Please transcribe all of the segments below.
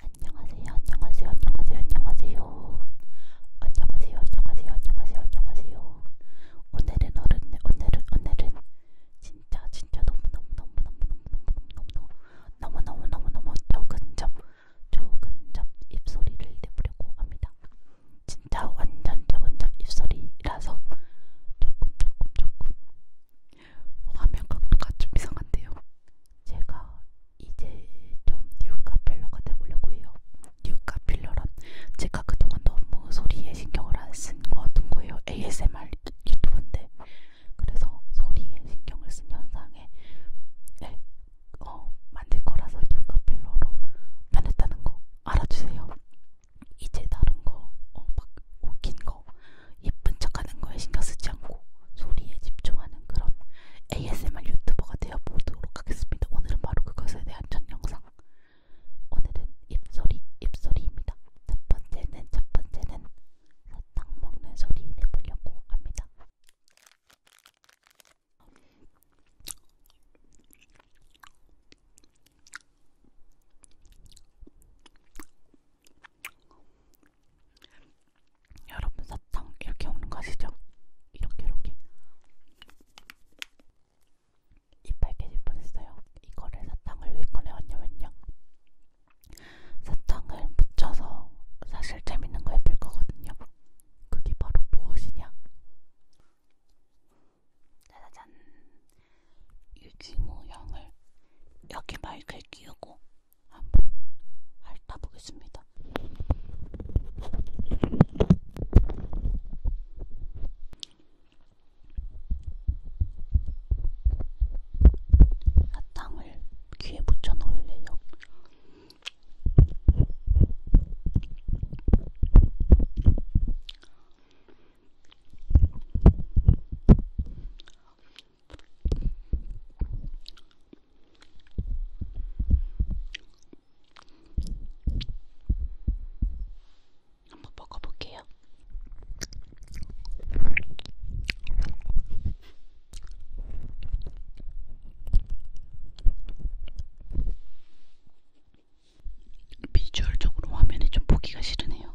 안녕하세요, 안녕하세요, 안녕하세요, 안녕하세요. 안녕하세요, 안녕하세요, 안녕하세요, 안녕하세요. 오늘은 어른, 오늘은 오늘은 진짜 진짜 너무 너무 너무 너무 너무 너무 너무 너무 너무 너무 너무 적은 접 적은 접 입소리를 내보려고 합니다. 진짜 완전 적은 접 입소리라서 조금 조금 조금 화면 각도가 좀 이상한데요. 제가 이제 좀 뉴카필러가 되보려고 해요. 뉴카필러란 제가 그동안 너무 소리에 신경을 안쓴것 같은 거예요. ASMR 유튜브인데 그래서 소리에 신경을 쓴 현상에 네, 어, 만들 거라서 뉴카필러로 변했다는 거 알아주세요. 이제 다른 거, 어, 막 웃긴 거, 예쁜 척하는 거에 신경 쓰지 않고 소리에 집중하는 그런 ASMR 유튜버가 되어보도록 하겠습니다. 오늘은 바로 그것에 대한 전 영상. 오늘은 입소리, 입소리입니다. 첫 번째는 첫 번째는 사탕 먹는 소리 내보려고 합니다. 여러분 사탕 이렇게 먹는 거 아시죠? 이렇게 이렇게 이빨 깨질 뻔했어요. 이거를 사탕을 왜 꺼내왔냐면요. 사탕을 묻혀서 사실 재밌는 거 해볼 거거든요. 그게 바로 무엇이냐? 짜자잔! 유지모 형을 여기 마이크에 끼우고 한번 핥아보겠습니다. 사탕을 귀에 붙여 넣을래요. 한번 먹어볼게요. 비주얼적으로 화면이 좀 보기가 싫으네요.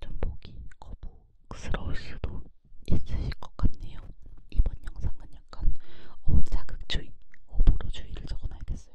좀 보기 거북스러울 수도 있으실 것 같네요. 이번 영상은 약간 어, 자극주의, 오보로주의를 적어놔야겠어요.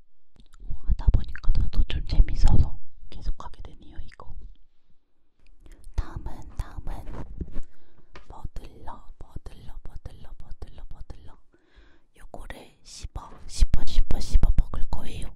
어, 하다 보니까 나도 좀 재밌어서 계속하게 되네요 이거. 다음은 다음은 버들러 버들러 버들러 버들러 버들러. 요거를 씹어 씹어 씹어 씹어 먹을 거예요.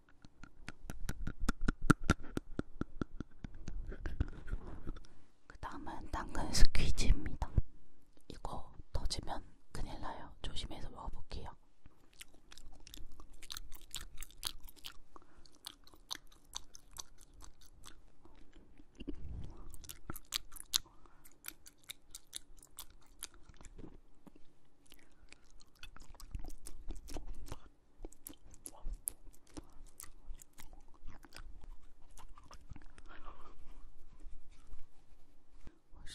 그 다음은 당근 스퀴즈입니다. 이거 터지면 큰일 나요. 조심해서 먹어볼게요.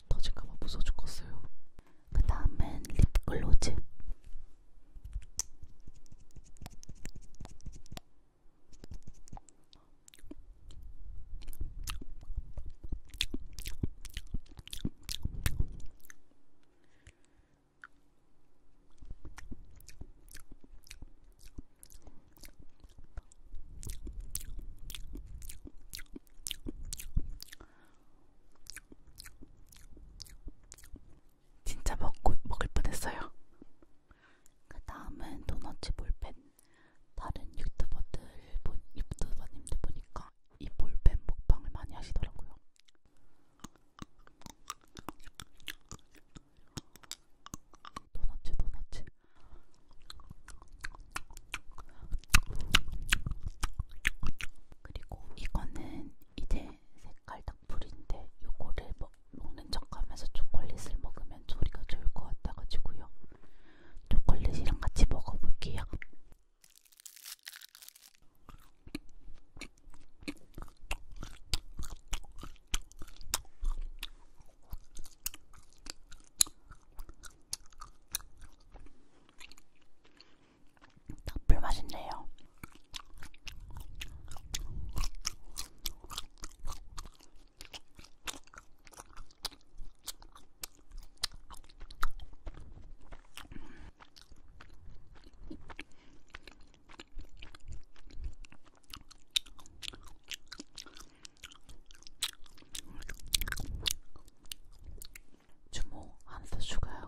터질까봐 무서워 죽겠어요. 그 다음엔 립글로즈. 진짜 먹고 먹을 뻔했어요. 그 다음은 도너츠 볼펜. 다른 유튜버들 보, 유튜버님들 보니까 이 볼펜 먹방을 많이 하시더라고요. 도넛츠 도넛츠 그리고 이거는 이제 색깔 닭불인데 요거를 먹, 먹는 척하면서 초콜릿을 먹으면 소리가 좋을 것 같아가지고요. 초콜릿이랑 같이 먹어볼게요. 나풀 맛있네요. 주모 한스 추가요.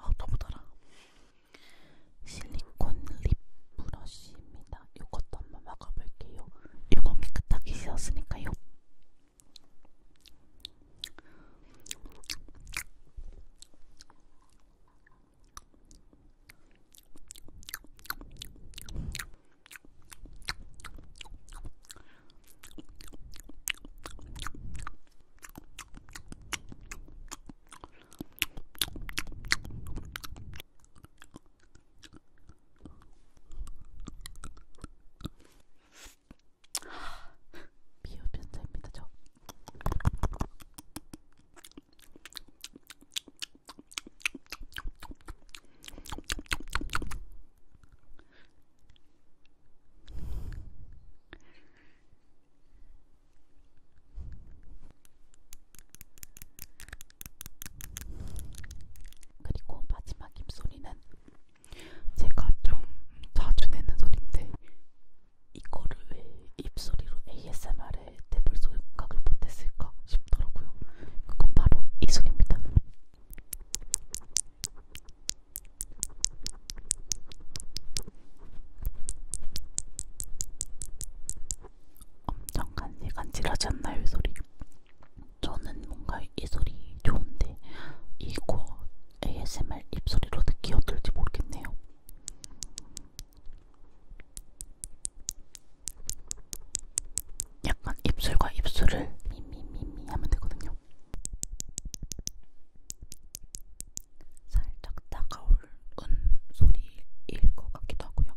아 너무 달아. 실리콘 립 브러쉬입니다. 이것도 한번 막아볼게요. 이건 깨끗하게 씻었으니까요. 미흡 편차입니다 저. 그리고 마지막 입소리는 제가 좀 자주 내는 소리인데 이거를 왜 입소리로 ASMR에 대불 소리 공각을 못했을까 싶더라고요. 그건 바로 이 소리입니다. 엄청 간지 간지러지 않나요, 이 소리? 저는 뭔가 이 소리 좋은데 이거 ASMR 입소리로 듣기 어떨지 모르겠네요. 약간 입술과 입술을 미미미미 하면 되거든요. 살짝 다가올 은 소리일 것 같기도 하고요.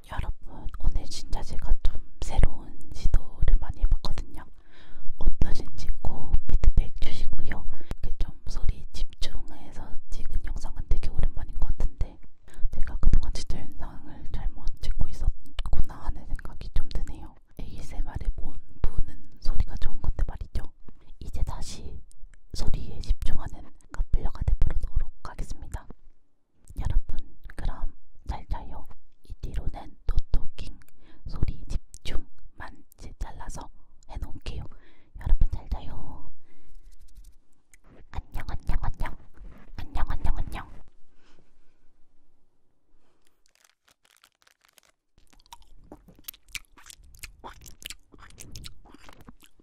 여러분 오늘 진짜 제가 좀 새로운 시도를 많이 해봤거든요. 어떠신지 꼭 피드백 주시고요. 이렇게 좀 소리 집중해서 찍은 영상은 되게 오랜만인 것 같은데 제가 그동안 진짜 영상을 잘못 찍고 있었구나 하는 생각이 좀 드네요. ASMR의 본 부는 소리가 좋은 건데 말이죠. 이제 다시 소리에 집중하는 카플러가 되도록 하겠습니다. 여러분 그럼 잘 자요. 이 뒤로는 노토킹 소리 집중만 잘라서 해놓을게요. 여러분 잘 자요. 안녕 안녕 안녕 안녕 안녕 안녕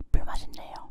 딱불 맛있네요.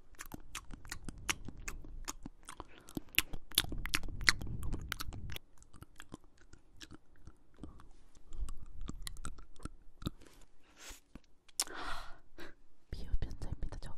미흡 변사입니다 저.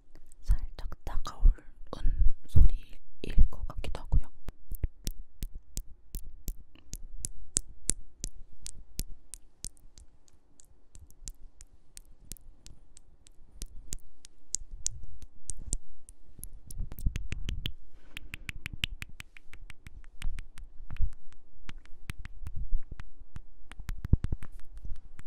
살짝 따가운 소리일 것 같기도 하고요.